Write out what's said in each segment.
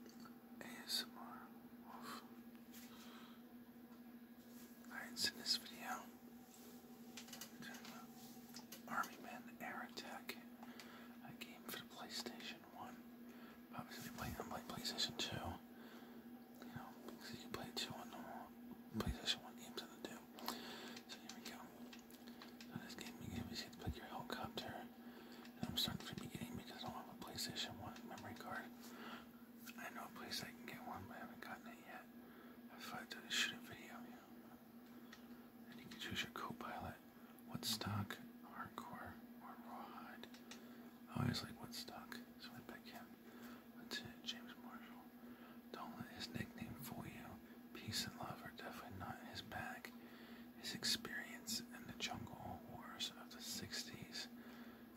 Alright, so in this video, Army Men Air Attack, a game for the PlayStation 1. Obviously, we play, i PlayStation 2. You know, because you can play 2 on normal PlayStation 1 games on the 2. So here we go. this game, you get to pick your helicopter. I'm starting from the beginning because I don't have a PlayStation 1 memory card. I know a place I can get one, but I haven't gotten it yet. If i do, shoot a video, you And you can choose your co-pilot, Woodstock, Hardcore, or Rawhide. I always like Woodstock, so I pick him. Lieutenant James Marshall. Don't let his nickname fool you. Peace and love are definitely not in his bag his experience in the jungle wars of the 60s,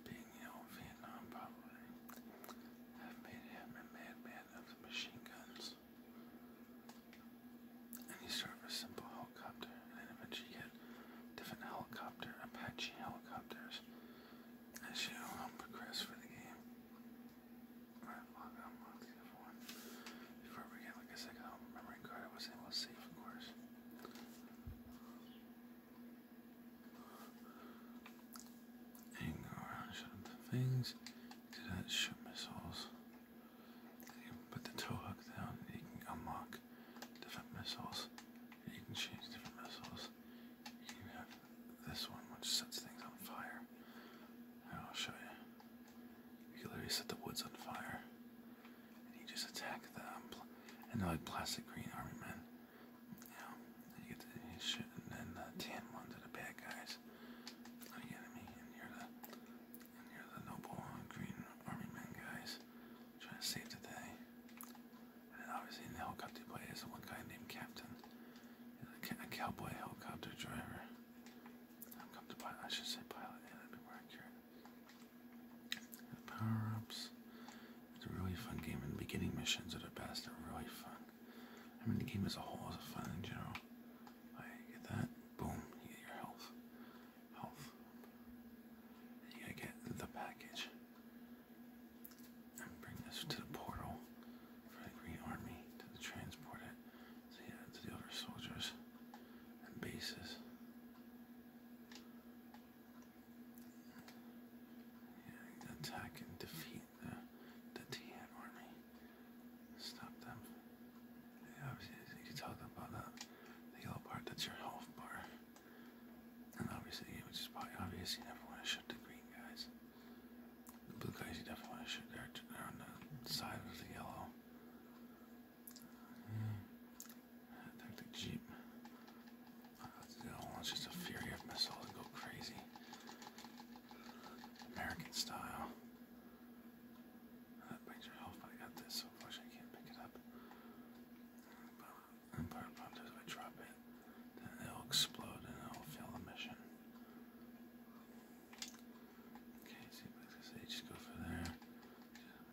being you know Vietnam probably, have made him a madman of the machine guns. And he started with a simple helicopter, and then eventually he different helicopter, Apache helicopters. As you know, i the game. Before we get, like I said, I card, I was able to save, of course. And go around and things. Do that, shoot missiles. You put the tow hook down you can unlock different missiles. You can change different missiles. You have this one which sets things on fire. I'll show you. You can literally set the woods on fire and just attack the um, and they're like plastic green army men. You and you get and then the tan ones are the bad guys, not the enemy, and you're the you're the noble green army men guys trying to save the day. And obviously the helicopter pilot is one guy named Captain, He's a cowboy helicopter driver. Helicopter pilot, I should say pilot, yeah, that'd be more accurate power-ups. It's a really fun game, and the beginning missions are the best. They're really fun. I mean, the game as a whole is fun in general. I get that. Boom. get your health. Health. you gotta get the package. And bring this to the portal for the Green Army to transport it. So yeah, to the other soldiers and bases. Yeah, attack and defeat the, the Tian army. Stop them. Yeah, obviously, you can talk about that. The yellow part, that's your health bar. And obviously, which is probably obvious, you never want to shoot the green guys. The blue guys, you definitely want to shoot. They're, they're on the side of the yellow. Tactic Jeep. I'll launch just a fury of missiles and go crazy. American style. That brings your health, I got this, so unfortunately I can't pick it up. But Empire Prompt if I drop it, then it'll explode and it'll fail the mission. Okay, see, so just go for there.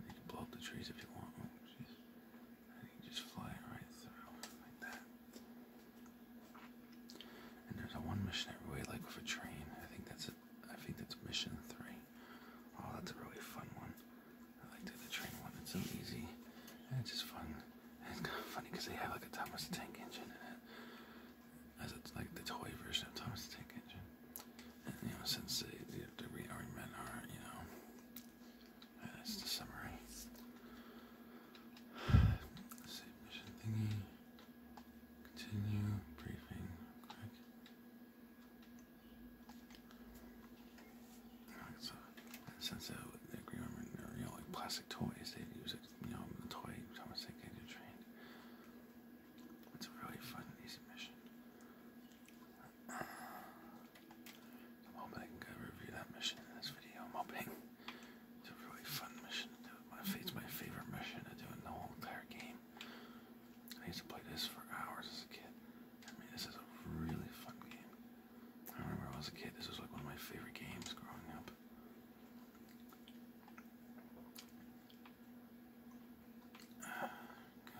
You can blow up the trees if you want. just fly right through, like that. And there's a one mission every way, like with a train. I think that's it. I think that's mission three. Oh, that's a really fun one. I like the train one. It's so easy, it's just fun. it's kind of funny because they have like a Thomas Tank Engine in it, as it's like the toy version of Thomas Tank Engine. And, you know, since the, the, the are, you know, that's the summary. mission thingy. Continue briefing. Quick. so, since the, the rearmament are, you know, plastic toys, they use it, you know, the toy, Thomas they get trained. It's really fun, easy mission. I'm hoping I can review that mission in this video. i it's a really fun mission My, it's my favorite mission to do in the whole entire game. I used to play this for hours as a kid. I mean, this is a really fun game. I remember when I was a kid, this was like one of my favorite games growing up.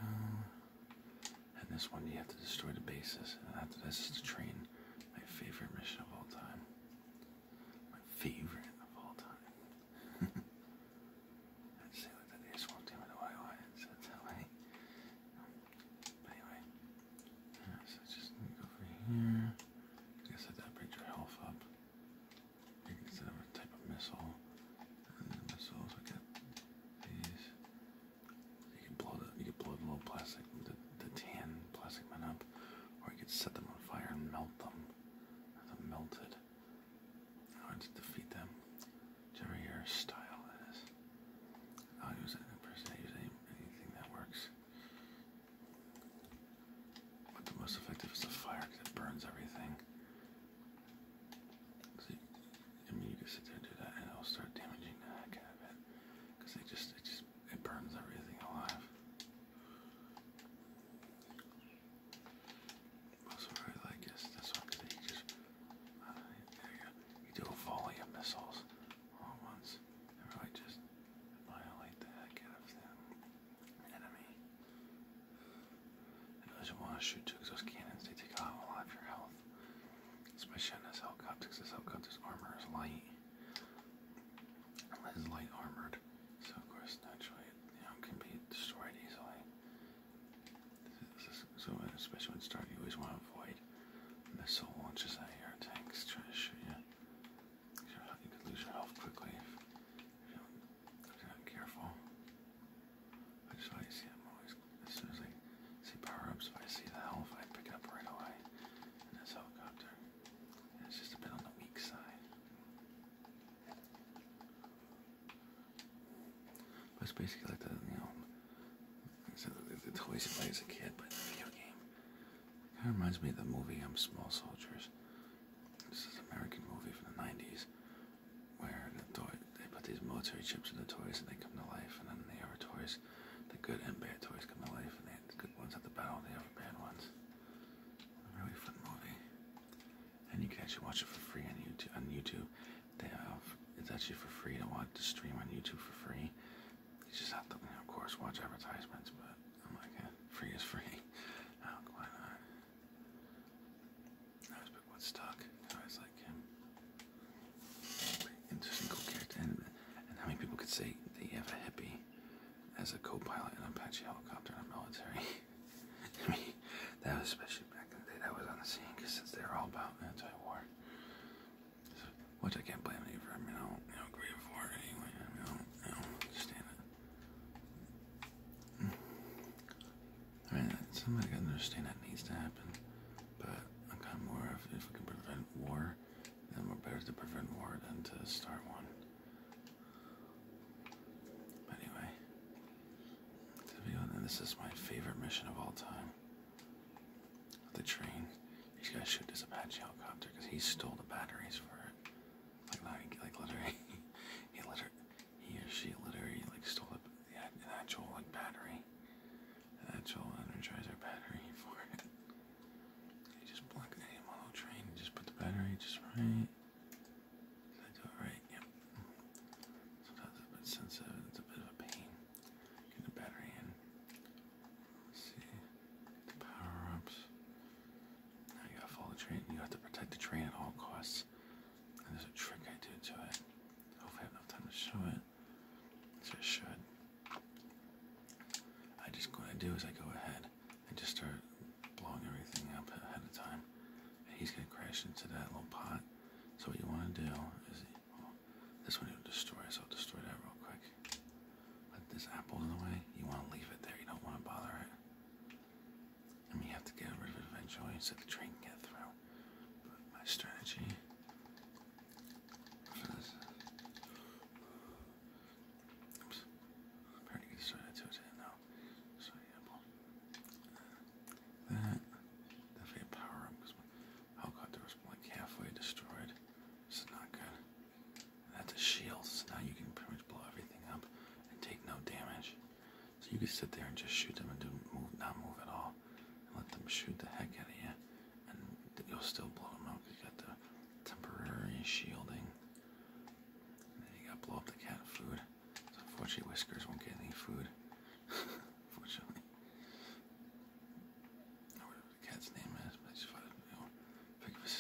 And this one, you have to destroy the bases. And after this is the train. My favorite mission of all time. My favorite of all time. I'd say that they just walked with a YY and said that way. anyway. so just go over here. I guess that brings your health up. You can a type of missile. And let's these. You can blow the you can blow the little plastic the, the tan plastic men up, or you can set them on fire and melt them. Have them melted. In order to defeat them. Whichever your style is. i use it I use anything that works. But the most effective is the fire it burns everything. I mean, you can sit there and do that, and it'll start damaging the heck out of it, it just, it just, it burns everything alive. That's what like is this one, because just, uh, there you go, you do a volley of missiles all at once, and really just annihilate the heck out of the enemy. And those who want to shoot because those cannons, they take a lot of your health. Especially on this helicopter, because this helicopter's armor is light. It's light armored, so of course, naturally, you know, can be destroyed easily. so, especially when starting, you always want to avoid missile launches at your tanks trying to shoot you. You could lose your health quickly i careful. I just want to see them always. As soon as I see power ups, if I see the hell, if I pick up right away in this helicopter. it's just a bit on the weak side. it's basically like the, you know, it's, the toys you play as a kid, but in a video game. kind of reminds me of the movie I'm um, Small Soldiers. This is an American movie from the 90s where they put these military chips in the toys and they come to life, and then the other toys, the good and bad toys come to life, and the good ones have the battle the other bad ones. A really fun movie, and you can actually watch it for free on YouTube. On YouTube, they have it's actually for free to watch the stream on YouTube for free. You just have to, of course, watch advertisements, but I'm like, eh, free is free. Oh, why not? I was a bit Woodstock. I was like, um, interesting, character. And, how many people could say that you have a hippie as a co in an Apache helicopter in a military? that was especially back in the day. That was on the scene because since they were all about anti-war. So, which I can't blame you for. I mean, I don't, agree with it anyway. I don't understand it. I mean, somebody got to understand that needs to happen, but I'm kind more of if we can prevent war, then we're better to prevent war than to start one. But anyway, to be honest, this is my favorite mission of all time. The train. You just gotta shoot this Apache helicopter because he stole the batteries for it. Like, like, literally, he literally he or she literally like stole a, an actual like battery, an actual energizer battery for it. They just plug the model train and just put the battery just right. Did right? Yep. Sometimes it's a bit sensitive, it's a bit of a pain. Get the battery in. Let's The power ups. Now you gotta follow the train. You have to protect the train at all costs. And there's a trick I do to it. Hopefully I have enough time to show it. So I should. I just what I do is I go ahead and just start blowing everything up ahead of time. And he's gonna crash into that little pot. So what you wanna do is this one you'll destroy, so I'll destroy that real quick. Let this apple in the way. You wanna leave it there, you don't wanna bother it. And we have to get rid of it eventually so the train can get through. my strategy Oops. I'm to get started now. So yeah, that definitely power up because my helicopter was like halfway destroyed. This is not good. that's a shield, so now you can pretty much blow everything up and take no damage. So you can sit there and just shoot them and do not move at all, and let them shoot the heck out of you, and you'll still blow them up. because you got the temporary shielding. you got blow up the cat food. unfortunately, Whiskers won't get any food. Fortunately, or whatever the cat's name is, but it's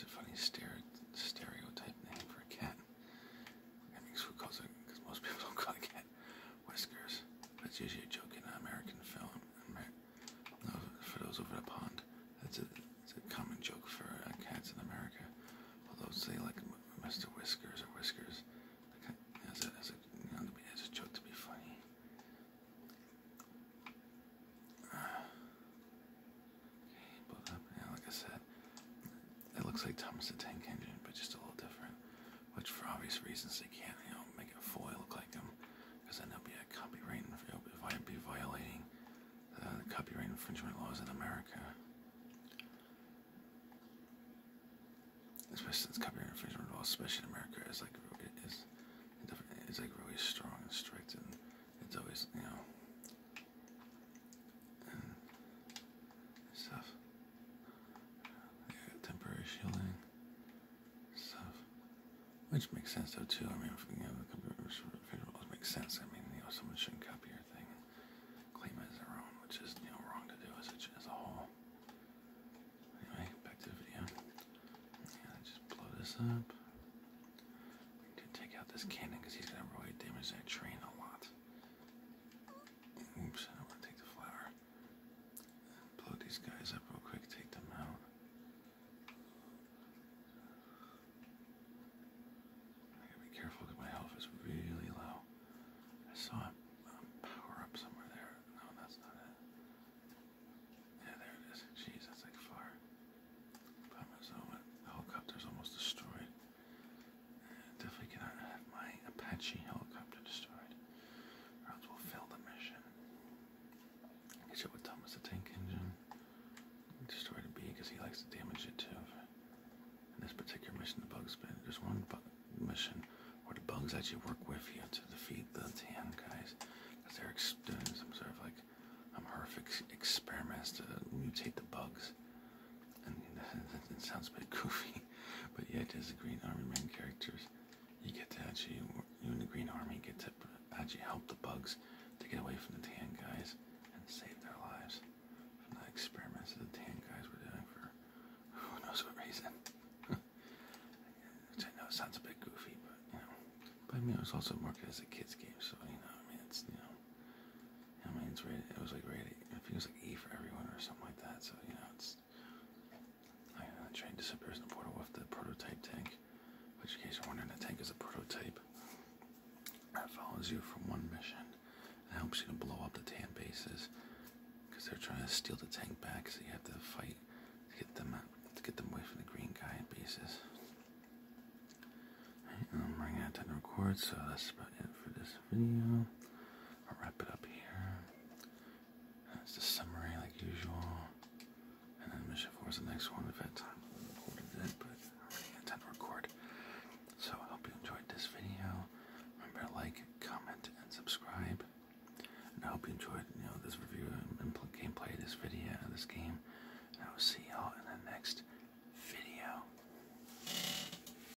a funny stereotype name for a cat. And these were causing, because most people don't call cat whiskers. That's usually a joke in an American film. No, for those over the pond, that's a, that's a common joke for uh, cats in America. Although say like Mr. Whiskers or Whiskers, like, as a, as a, you know, as a joke to be funny. Uh, okay, but, uh, yeah, like I said, it looks like Thomas the Tank Engine, but just a little different. Which, for obvious reasons, they can't, you know, make a foil look like him because then they'll be a copyright infringement. If I'd be violating the copyright infringement laws in America, especially since copyright infringement laws, especially in America, is like it is, it's like really strong and strict, and it's always, you know. stuff temporary shielding stuff, which makes sense though too. I mean, if you have a computer, it makes sense. I mean, you know, someone shouldn't copy your thing and claim it as their own, which is you know wrong to do as a, as a whole. Anyway, back to the video. just blow this up. We take out this cannon he's gonna really damage that train a lot. Oops, I want to take the flower. Blow these guys up real quick, take them out. gotta be careful because my health is really low. I saw a, power up somewhere there. No, that's not it. Yeah, there it is. Jeez, that's like far. Problem is, the helicopter's almost destroyed. Definitely cannot have my Apache helicopter destroyed. Or else we'll fail the mission. Get up with Thomas the Tank Engine. Destroy the bee because he likes to damage it too. In this particular mission, the bugs been just one mission where the bugs actually work with you to defeat the tan guys. Because they're doing some sort of like um, horrific experiments to mutate the bugs and that, that sounds a bit goofy, but yet as the Green Army main characters, you get to actually, you and the Green Army get to actually help the bugs to get away from the tan guys and save their lives from the experiments that the tan guys were doing for who knows what reason. Which I know sounds a bit goofy, but you know. But I mean, it was also marketed as a kids game, so you know, I mean, it's you know, I mean, it was like rated, it was like E for everyone or something like that. So, you know, it's like the train disappears in the portal with the prototype tank. Which, in case you're wondering, the tank is a prototype that follows you from one mission It helps you to blow up the tan bases because they're trying to steal the tank back. So you have to fight to get them to get them away from the green guy bases. Right, I'm running out of time to record, so that's about it for this this video. I'll wrap it up here. That's the summary, like usual. And then Mission 4 is the next one. We've had time to record it, but I already had time to record. So I hope you enjoyed this video. Remember to like, comment, and subscribe. And I hope you enjoyed, you know, this review and gameplay of this video, this game. And I will see y'all in the next video.